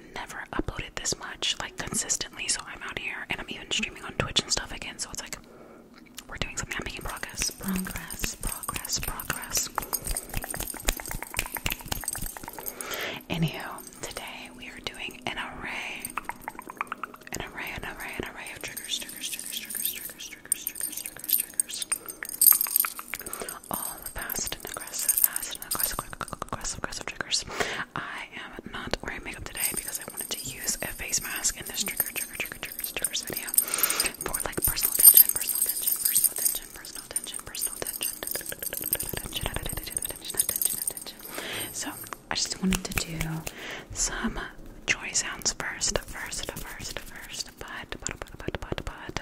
i never uploaded this much like consistently, so I'm out here and I'm even streaming on Twitch and stuff again, so it's like we're doing something, I'm making progress, progress, progress, progress. Anywho, today we are doing an array, an array, an array, an array of triggers, triggers, triggers, triggers, triggers, triggers, triggers, triggers, triggers all fast and aggressive, fast and aggressive, aggressive, aggressive triggers. I am not wearing makeup today because I wanted to use a face mask in this trigger, trigger, trigger, triggers, triggers video for like personal attention, personal attention, personal attention, personal attention, personal attention, attention, attention, attention, attention, attention. So I just wanted to do some joy sounds first, first, first, first, but, but, but, but, but, but.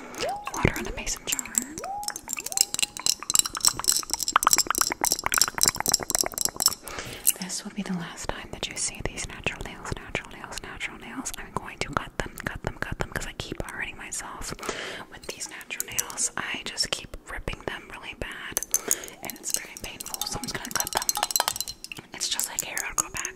water in a basin jar. This will be the last time that you see these natural nails, natural nails, natural nails. I'm going to cut them, cut them, cut them because I keep hurting myself with these natural nails. I just keep ripping them really bad and it's very painful, so I'm just going to cut them. It's just like hair, I'll go back.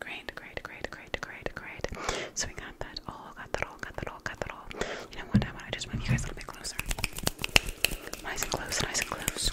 Great, great, great, great, great, great. So we got that all, got that all, got that all, got that all. You know what? I want to just move you guys a little bit closer. Nice and close, nice and close.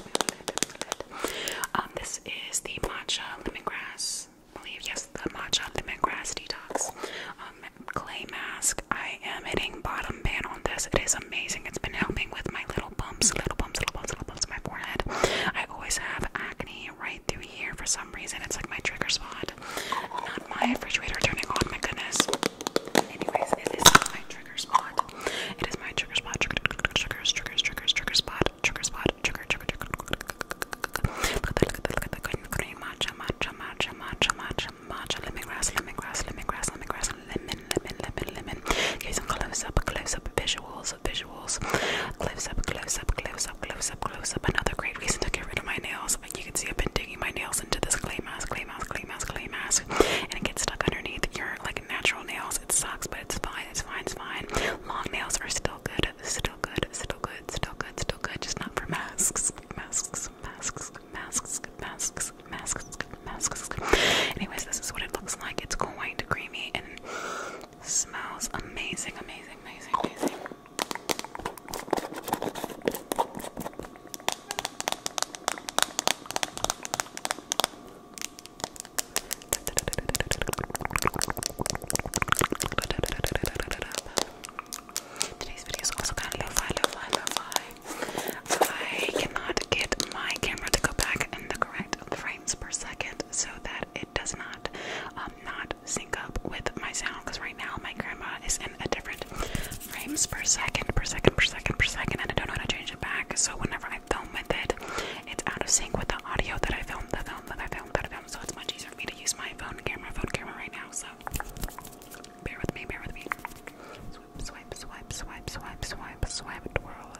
Um, this is the matcha lemongrass. I believe yes, the matcha lemongrass detox um, clay mask. I am hitting bottom pan on this. It is amazing. It's been helping with my little bumps, little bumps, little bumps, little bumps in my forehead. I always have acne right through here for some reason. It's like my trigger spot. Not my refrigerator turning on. My goodness. Anyways, it is not my trigger spot. It is my trigger spot. Trigger, triggers, triggers, triggers, trigger spot. Trigger spot. Trigger, trigger, trigger. Look at that! Look at that! Look at that! Green, green matcha, matcha, matcha, matcha, matcha, matcha. Lemongrass, lemongrass, lemongrass, lemongrass, lemon, lemon, lemon, lemon. Okay, some close-up, close-up visuals, visuals. Close-up, close-up, close-up, close-up, close-up. Another great reason to get rid of my nails. You can see I've been digging my nails into this clay mask clay mask, clay mask, clay mask, and it gets stuck underneath your like natural nails. It sucks, but it's fine, it's fine, it's fine. Long nails are still good, still good, still good, still good, still good, just not for masks. Masks, masks, masks, masks, masks, masks. Anyways, this is what it looks like. It's quite creamy and smells amazing, amazing, amazing, amazing. Today's video is also kind of lo-fi, lo-fi, lo-fi. I cannot get my camera to go back in the correct frames per second so that it does not um, not sync up with my sound because right now my grandma is in a different frames per second, per second, per second, per second, and I don't know how to change it back. So whenever I film with it, it's out of sync with the audio that I filmed, the film that I filmed, that I filmed. So it's much easier for me to use my phone camera, phone camera right now. So bear with me, bear with me. Swipe, swipe, swipe, swipe, swipe, swipe, twirl.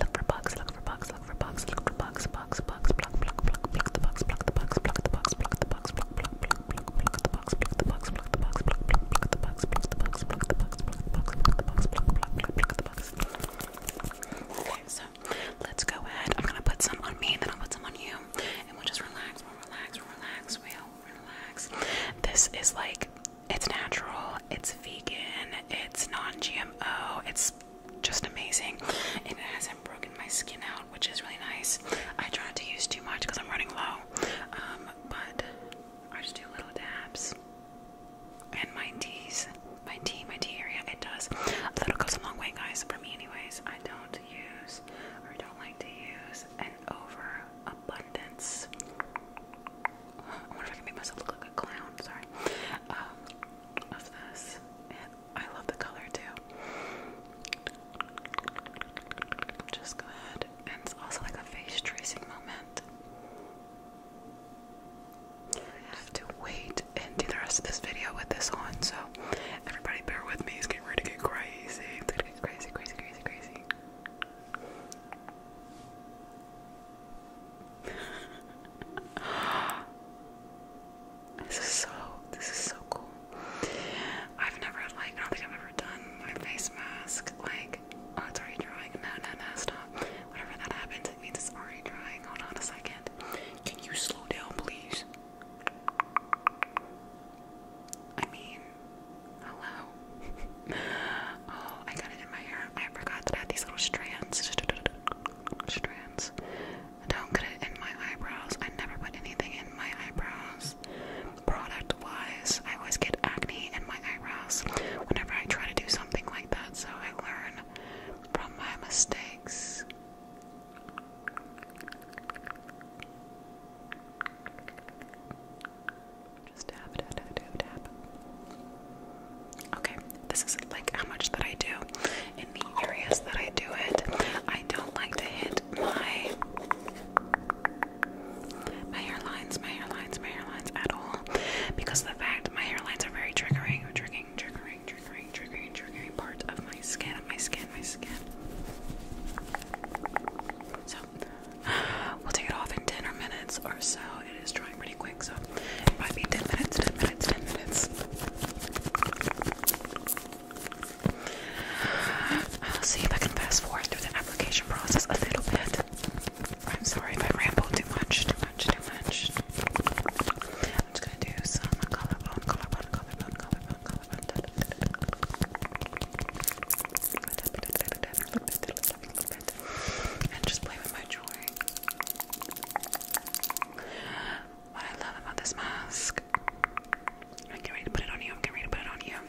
Look for bugs, look for bugs, look for bugs, look for bugs, bugs, bugs, pluck, pluck, pluck, pluck the bugs, pluck the bugs, pluck bugs, bugs, bugs, bugs, Okay, so let's go ahead. I'm gonna put some on me, then I'll put some on you, and we'll just relax, relax, relax, relax. This is like it's natural, it's vegan, it's non-GMO, it's just amazing. And it hasn't broken my skin out, which is really nice. I tried to use too much because I'm running low. Um, but I just do little dabs and my T's, my T, my T area, it does. that little goes a long way, guys. For me, anyways, I don't use or don't like to use an overabundance. I wonder if I can make myself look like a clown. Sorry. Um, of this, and I love the color too. Just go ahead and it's also like a face tracing moment. I have to wait and do the rest of this video with this on, so everybody bear with me. It's getting ready to get crazy. crazy, crazy, crazy, crazy. this is so this is so cool. I've never like I I've ever done my face mask like like, oh, it's No, no, no, stop. Whenever that happens, it means it's already drying. Hold on a second. Can you slow down, please? I mean, hello. oh, I got it in my hair. I forgot that I these little strands. strands. Don't get it in my eyebrows. I never put anything in my eyebrows. Product wise, I always get acne in my eyebrows whenever I try to do something like that, so I learn from my mistakes. Just dab, dab, dab, dab, dab. Okay, this is like how much that I do. In the areas that I do it, I don't like to hit my my hairlines, my hairlines, my hairlines at all. Because the fact my hairlines are very triggering, triggering, triggering, triggering, triggering, triggering part of my skin, my skin, my skin. So we'll take it off in 10 or minutes or so. It is drying pretty quick, so it might be 10 minutes, 10 minutes, 10 minutes. see if I can fast forward through the application process a little bit. I'm sorry if I ramble too much, too much, too much. I'm just gonna do some collarbone, collarbone, collarbone, collarbone, collarbone. and just play with my jewelry. What I love about this mask. I'm getting ready to put it on you. I'm getting ready to put it on you.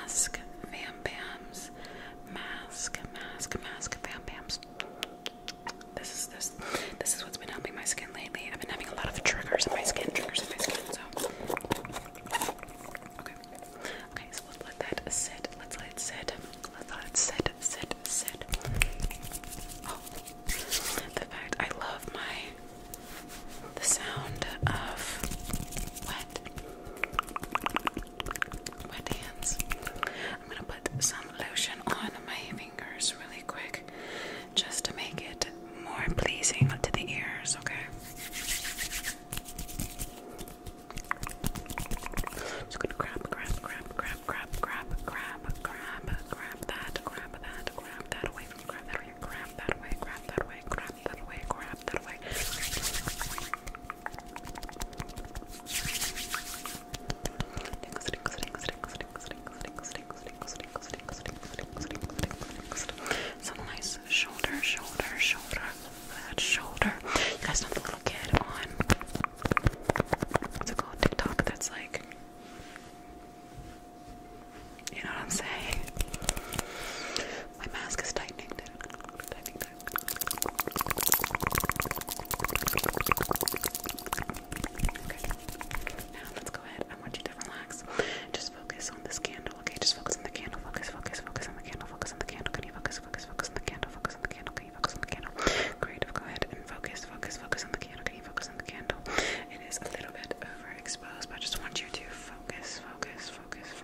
mask Van Bams. Mask, mask, mask Van Bams. This is this this is what's been helping my skin lately. I've been having a lot of triggers in my skin, triggers in my skin, so Okay. Okay, so let's let that sit. Let's let it sit. Let's sit, sit, sit. Oh. The fact I love my the sound of wet. hands. I'm gonna put some lotion on my fingers really quick just to make it more pleasing to the ears, okay? Just gonna grab, grab, grab, grab, grab, grab, grab, grab, grab that, grab that, grab that away from grab that away, grab that away, grab that away, grab grab that away, grab that away. Some nice shoulder, shoulder, shoulder. That shoulder. You guys know the little kid on what's it called? TikTok that's like you know what I'm saying? My mask is tightening. Now let's go ahead. I want you to relax. Just focus on this candle. Okay. Just focus on the candle. Focus. Focus. Focus on the candle. Focus on the candle. Can you focus? Focus. Focus on the candle. Focus on the candle. Can you focus on the candle? Great. Go ahead and focus. Focus. Focus on the candle. Can you focus on the candle? It is a little bit overexposed, but I just want you to focus. Focus. Focus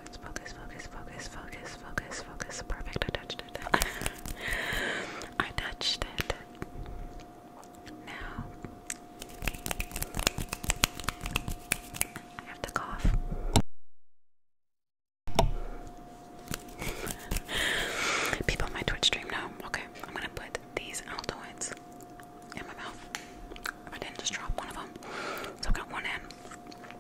focus, focus, focus, focus, focus, focus, Perfect. I touched it. I touched it. Now I have to cough. People on my Twitch stream know. Okay, I'm gonna put these Altoids in my mouth. I didn't just drop one of them, so i got one in,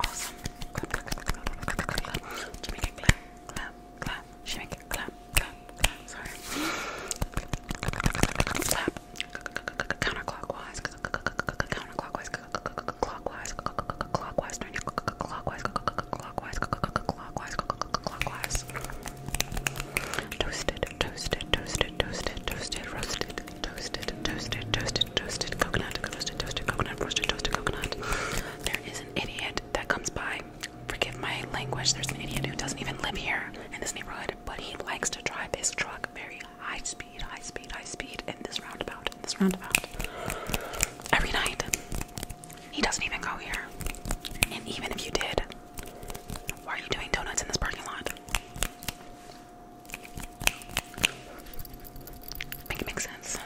Awesome. Clap, clap, clap, clap, clap, clap, clap. She make it clap, clap, clap. She make it clap, clap, clap. Sorry. Clap. Counterclockwise. Counterclockwise. Clockwise. Clockwise. Turn your clockwise. Clockwise. Clockwise. Clockwise. Toasted. Toasted. Toasted. Toasted. Toasted. Roasted. Toasted. Toasted. Toasted. Toasted. Coconut. Toasted. Toasted. Coconut. Roasted. Toasted. Coconut there is an idiot that comes by. Forgive my language, there's an idiot who doesn't even live here in this neighborhood, but he likes to drive his truck very high speed, high speed, high speed in this roundabout, in this roundabout. Every night. He doesn't even go here. And even if you did, why are you doing donuts in this parking lot? Make it make sense.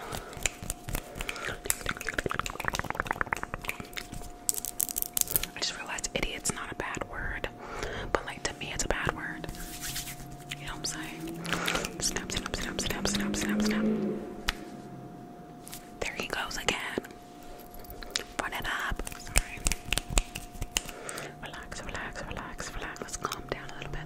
I just realized idiot's not a bad word, but like to me it's a bad word. You know what I'm saying? Snap, snap, snap, snap, snap, snap, snap. There he goes again. Run it up. Relax, relax, relax, relax. Let's calm down a little bit.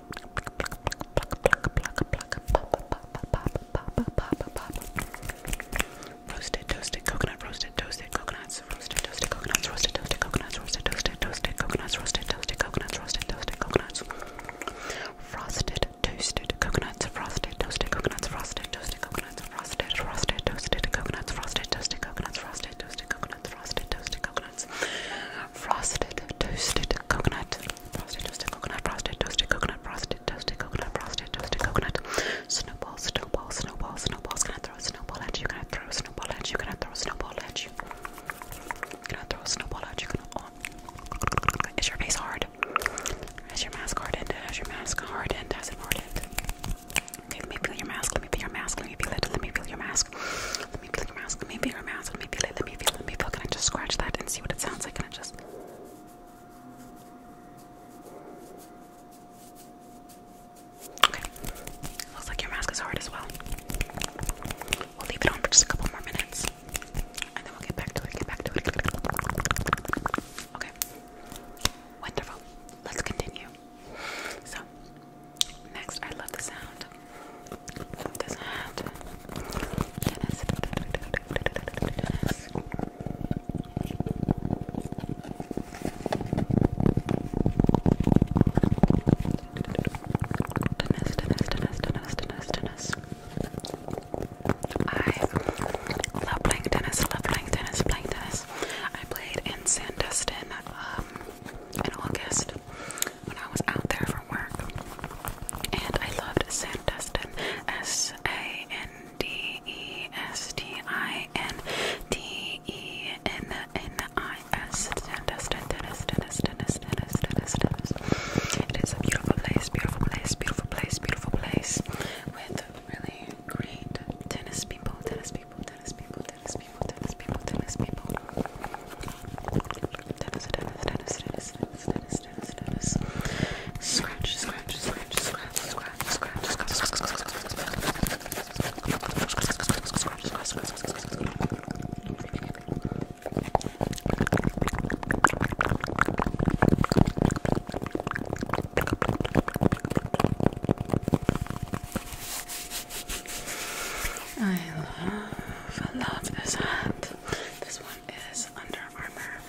Roasted, toasted coconut, roasted, toasted coconuts, roasted, toasted coconuts, roasted, toasted coconuts, roasted, toasted, toasted coconuts, roasted, toasted coconuts, roasted, toasted coconuts, frosted, toasted coconuts, frosted, toasted coconuts, frosted, toasted coconuts, frosted, frosted, toasted coconuts, frosted, toasted coconuts, frosted, toasted coconuts, frosted, toasted coconuts, frosted, toasted coconut. Frosted toasted coconut, frosted toasted coconut, frosted toasted coconut, frosted toasted coconut. Snowball, snowball, snowball, snowballs. Gonna throw a snowball at you, gonna throw a snowball at you, gonna throw a snowball at you. Gonna throw a snowball at you, gonna on. Oh. Is your face hard? Has your mask hardened? Has your mask hardened? Has it hardened? Okay, let me feel your mask, let me feel your mask, let me feel it, let me feel your mask. Let me feel your mask, let me feel your mask. Let me feel Let me feel. Let me feel. Can I just scratch that and see what it sounds like? Can I just? Okay. Looks like your mask is hard as well. We'll leave it on for just a couple more minutes, and then we'll get back to it. Get back to it. Okay. Wonderful. Let's continue. So, next, I love the sound Dennis, Dennis, Dennis, Dennis, Dennis, Dennis. I love playing tennis, love playing tennis, playing tennis. I played in Sandestin in August when I was out there from work. And I loved Sandestin. S A N D E S T I N D E N N I S. Sandestin, Dennis, Dennis, Dennis, Dennis, Dennis, Dennis. It is a beautiful place, beautiful place, beautiful place, beautiful place. With really great tennis people, tennis people, tennis people, tennis people, tennis people, tennis people. tennis, tennis, tennis, tennis, tennis, notice, notice. Scratch, scratch, scratch, scratch, scratch, scratch, scratch, scratch, scratch, scratch, scratch, I love, I love this hat. This one is Under Armour.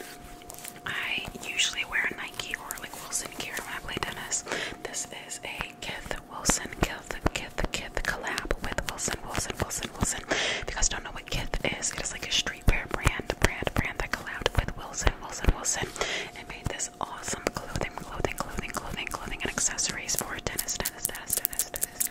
I usually wear Nike or like Wilson Gear when I play tennis. This is a Kith Wilson, Kith, Kith, Kith collab with Wilson, Wilson, Wilson, Wilson. If you guys don't know what Kith is, it is like a streetwear brand, brand, brand that collabed with Wilson, Wilson, Wilson. It made this awesome clothing, clothing, clothing, clothing, clothing, and accessories for tennis, tennis, tennis, tennis.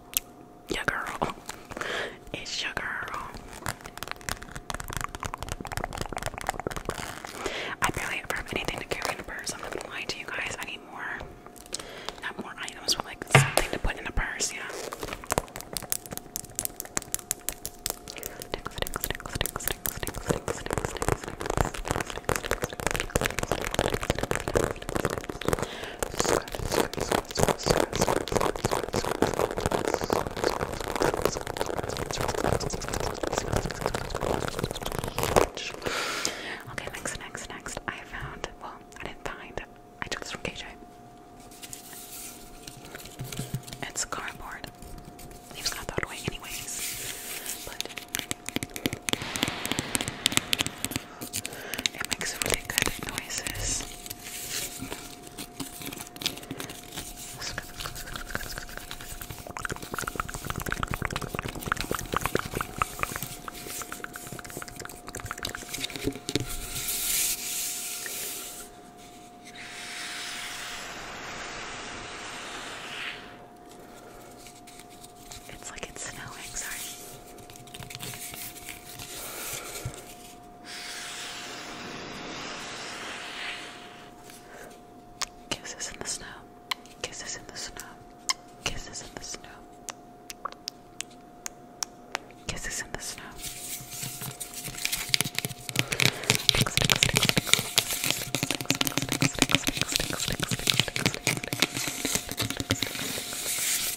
your girl. It's your girl. I barely ever have anything to carry in a purse. I'm not gonna lie to you guys. I need more. Not more items, but like something to put in a purse, yeah. Okay, next, next, next. I found, well, I didn't find, I took this from KJ. It's cardboard. Leaves got thrown away anyways. But it makes really good noises. It's like it's snowing, sorry. Kisses in the snow. Kisses in the snow. Kisses in the snow. Kisses in the snow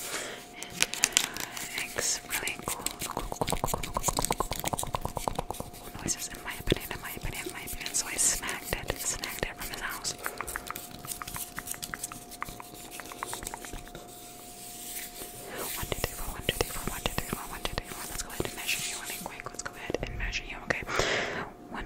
and uh, really cool, cool, cool, my opinion, my opinion, my opinion. So I snacked it, snacked it from his house. One, two, three, four, one, two, three, four, one, two, three, four, one, two, three, four. Let's go ahead and measure you really quick. Let's go ahead and measure you, okay? 1,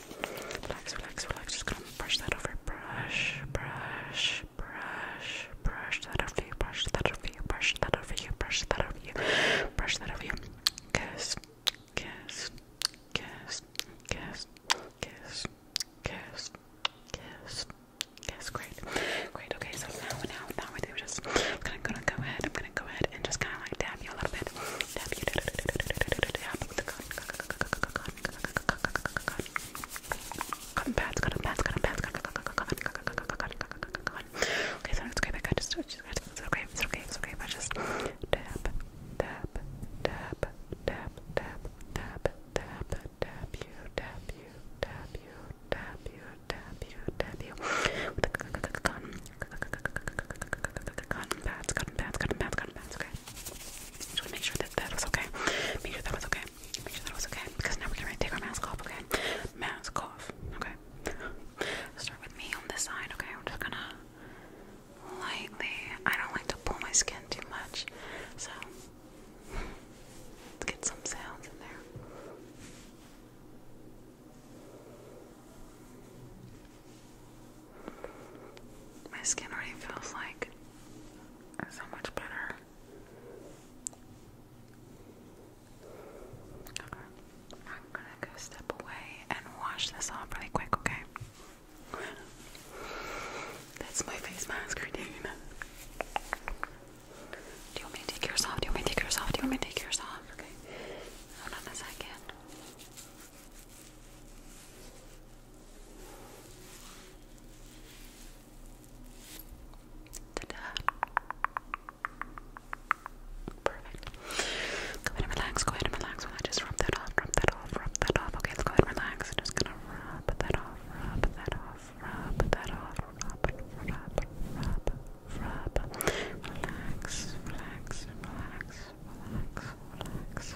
Relax, relax, relax. Just gonna brush that over. Brush, brush, brush, brush that over you. Brush that over you. Brush that over you. Brush that over you. Brush that over you. Kiss, kiss, kiss, kiss, kiss, kiss, kiss. Yes, great, great. Okay, so now, now, now I think just I'm gonna, gonna go ahead. I'm gonna go ahead and just kind of like dab you a little bit. Dab you. Dab cotton pads, cotton pads, cotton pads, cotton cotton cotton cotton Okay, so it's okay, I just it's okay, it's okay, it's okay, I just tap, tap, tap, tap, tap, tap, tap, tap you, tap you, tap you, tap you, tap you, tap you with the cotton pads, cotton pads, cotton pads, cotton pads, okay. Just want to make sure that that was okay. Make sure that was okay. Make sure that was okay. Because now we can take our mask off, okay? Mask off, okay? Start with me on this side, okay? I'm just gonna lightly. I don't like to pull my skin too much, so let's get some sounds in there. Okay. My skin already feels like so much better. I'm gonna go step away and wash this off really quick, okay? That's my face mask routine. Do you want me to take yours off? Do you want me to take yours off? Do you want me to take yours off? Okay. Hold second. Perfect. Go ahead and relax, go ahead and relax while I just rub that off, rub that off, rub that off. Okay, let's go ahead and relax. I'm just gonna rub that off, rub that off, rub that off, rub, rub, rub, rub. Relax, relax, relax, relax, relax,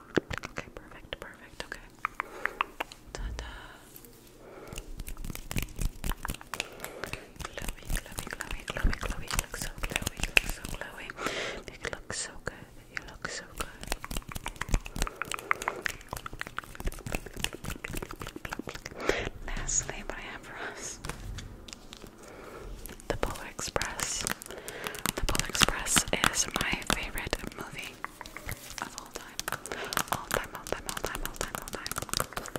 Okay, perfect, perfect, okay. Ta da! Glowy, glowy, glowy, glowy, glowy. look so glowy, look so glowy. You look so good, you look so good. Last name I have for us. The Polar Express. The Polar Express is my favorite movie of all time. All time, all time, all time, all time, all time.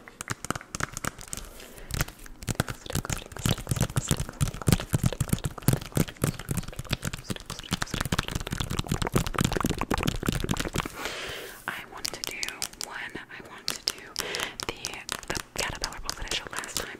I want to do one. I want to do the the caterpillar book last time.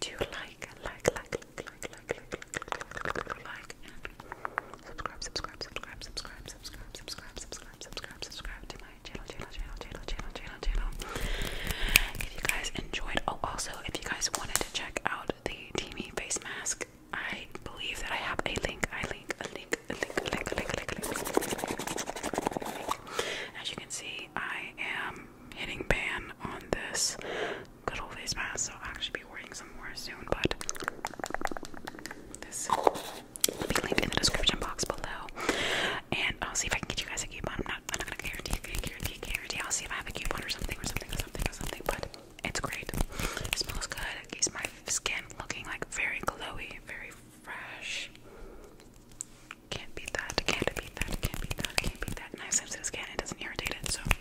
do like, like, like, like, like, like, like, like, like, like, and subscribe, subscribe, subscribe, subscribe, subscribe, subscribe, subscribe, subscribe, subscribe to my channel, channel, channel, channel, channel, channel, channel. If you guys enjoyed, oh, also, if you guys wanted to check out the Teamy face mask, I believe that I have a link, I link, a link, a link, a link, a link, a link, a link. As you can see, I am hitting ban on this good old face mask, so I'll actually be ordering some more soon. But this will be linked in the description box below. And I'll see if I can get you guys a coupon. I'm not, I'm not gonna guarantee, guarantee, guarantee. I'll see if I have a coupon or something, or something, or something, But it's great. It smells good. It keeps my skin looking like very glowy, very fresh. Can't beat that. Can't beat that. Can't beat that. Can't beat that. Nice sensitive skin. It doesn't irritate it, so